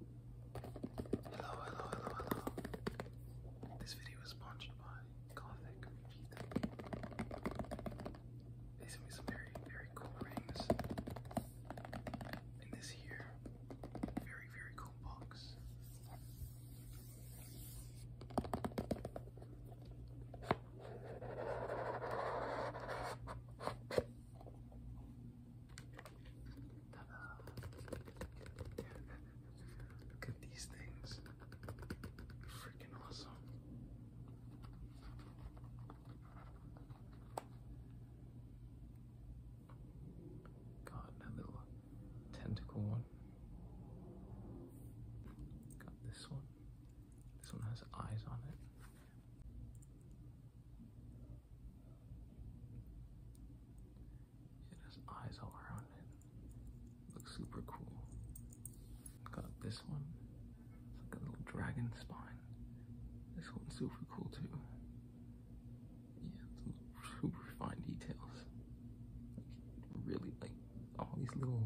Hello, hello, hello, hello. This video is sponsored by Gothic Vita. They sent me some very, very cool rings. And this here, very, very cool box. Look at these things. Freaking awesome. Got another little tentacle one. Got this one. This one has eyes on it. It has eyes all around it. Looks super cool. Got this one. It's like a little dragon spine. This one's super cool too. Yeah, super fine details. Like really like all these little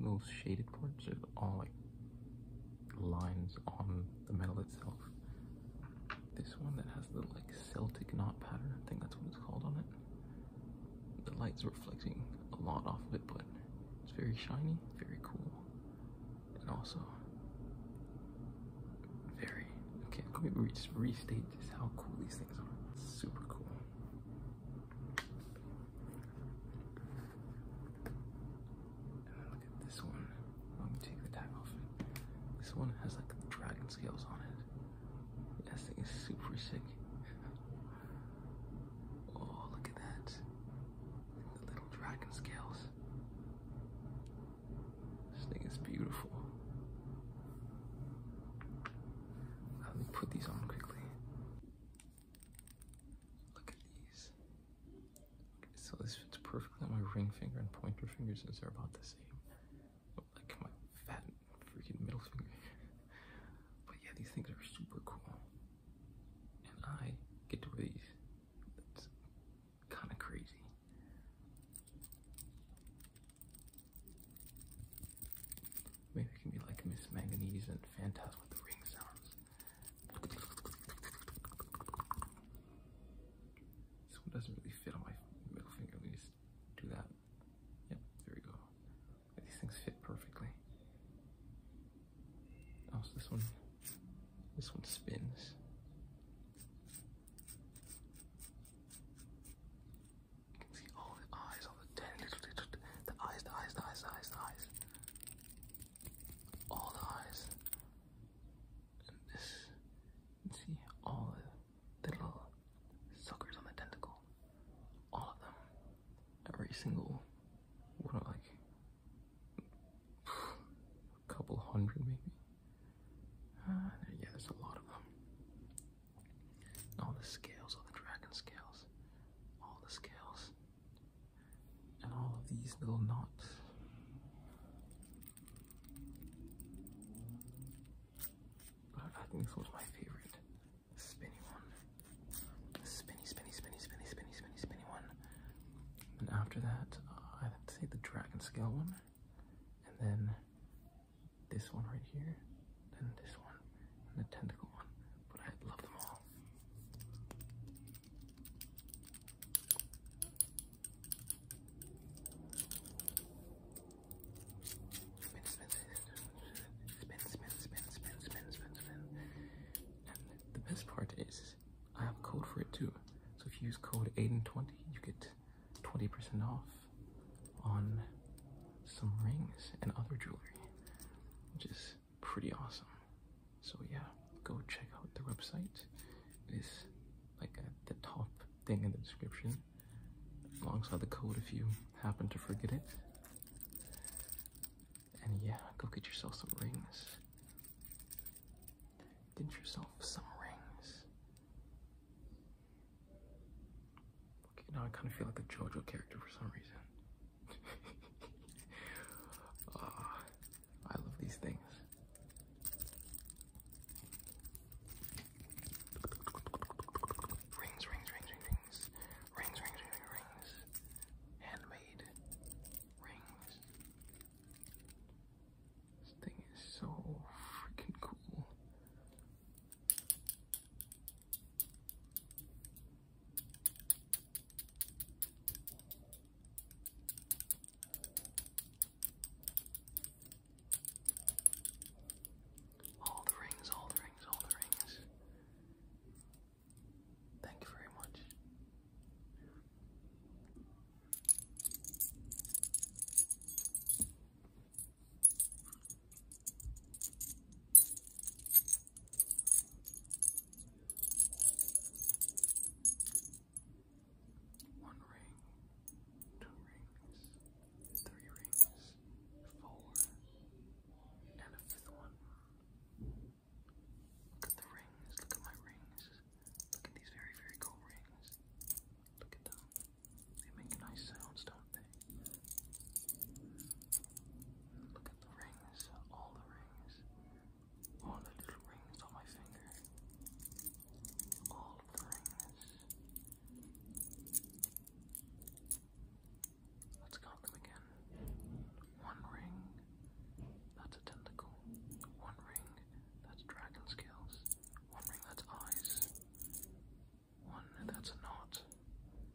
those shaded parts are all like lines on the metal itself. This one that has the like Celtic knot pattern, I think that's what it's called on it. The light's reflecting a lot off of it, but it's very shiny, very cool, and also very, okay, let me just restate just how cool these things are. super cool look at this one. Let me take the tag off. This one has like dragon scales on it. This thing is super sick. Oh, look at that. The little dragon scales. This thing is beautiful. Let me put these on quickly. Look at these. Okay, so this fits perfectly on my ring finger and pointer fingers. since they're about the same. Look like my fat freaking middle finger. but yeah, these things are super cool. And I get to wear these. That's kind of crazy. Maybe it can be like Miss Manganese and Fantastic with the ring sounds. This one doesn't really fit on my middle finger. Let me just do that. Yep, there we go. These things fit perfectly. Oh, this one, this one spins. You can see all the eyes, all the tiny little, little, the eyes, the eyes, the eyes, the eyes, the eyes all the eyes this see all the, little suckers on the tentacle all of them every single what are like a couple hundred maybe ah, yeah there's a lot of them all the scales all the dragon scales all the scales and all of these little knots. I think this was my favorite spinny one. Spinny, spinny, spinny, spinny, spinny, spinny, one. And after that, uh, I'd say the dragon scale one. And then this one right here then this one, and the tentacle one, but I love them all. Spin, spin, spin, spin, spin, spin, spin, spin, spin. And the best part is, I have a code for it too. So if you use code Aiden twenty, you get twenty percent off on some rings and other jewelry which is pretty awesome. So yeah, go check out the website. It is like at the top thing in the description, alongside the code if you happen to forget it. And yeah, go get yourself some rings. Get yourself some rings. Okay, now I kind of feel like a JoJo character for some reason oh, I love these things. rings, rings, rings, rings. Rings, rings, rings, rings. Handmade rings. This thing is so freaking cool. All the rings, all the rings, all the rings. Thank you very much. One ring, two rings, three rings, four, and a fifth one. Look at the rings, look at my rings. Look at these very, very cool rings. Look at them. They make nice sounds, don't they? Look at the rings, all the rings, all the little rings on my finger. All the rings. Let's count them again. One ring, that's a tentacle. One ring, that's dragon scales. One ring, that's eyes one that's a knot,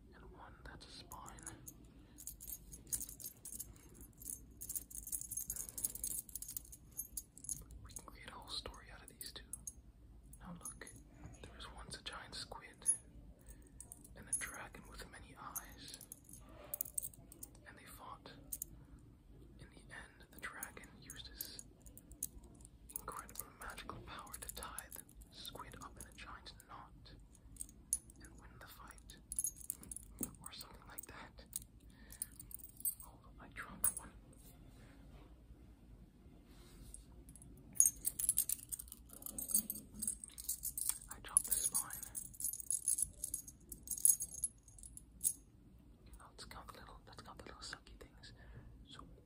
and one that's a spine. We can create a whole story out of these two. Now look, there was once a giant squid, and a dragon with many eyes, and they fought. In the end, the dragon used his incredible magical power to tie squid up in a giant knot and win the fight. Or something like that. I dropped one. I dropped the spine. Let's count the little, let's count the little sucky things. So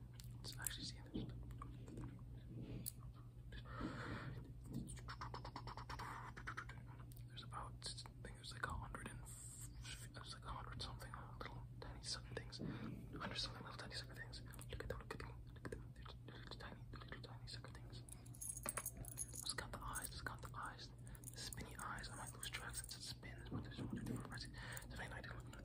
let actually there's about there's like a hundred and there's like a hundred something little tiny sucker things. Hundred something little tiny sucker things. Look at them, look at them, little tiny, little tiny sucker things. It's got the eyes, it's got the eyes, the spinny eyes. I might lose track since it spins, but there's one different prices. It's very nice. I'm not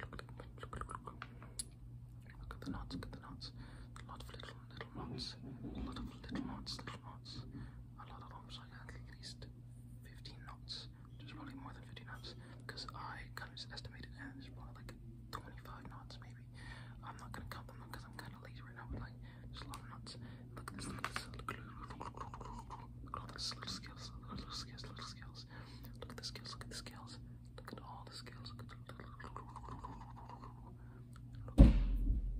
Look at the knots, look at the knots. A lot of little, little knots. A lot of little knots, little knots. A lot of them, so I got at least 15 knots. There's probably more than 15 knots because I kind of just estimated and there's probably like 25 knots maybe. I'm not gonna count them because I'm kind of lazy right now, but like there's a lot of knots. Look at this, look at this. Look at all those little scales, little, little scales, little scales. Look at the scales! Look at the scales! Look at all the scales! Look at the...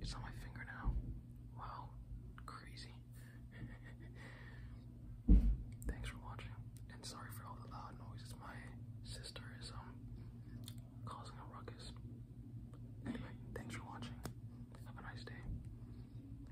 It's on my finger now. Wow, crazy. Thanks for watching, and sorry for all the loud noises. My sister is um causing a ruckus. Anyway, thanks for watching. Have a nice day.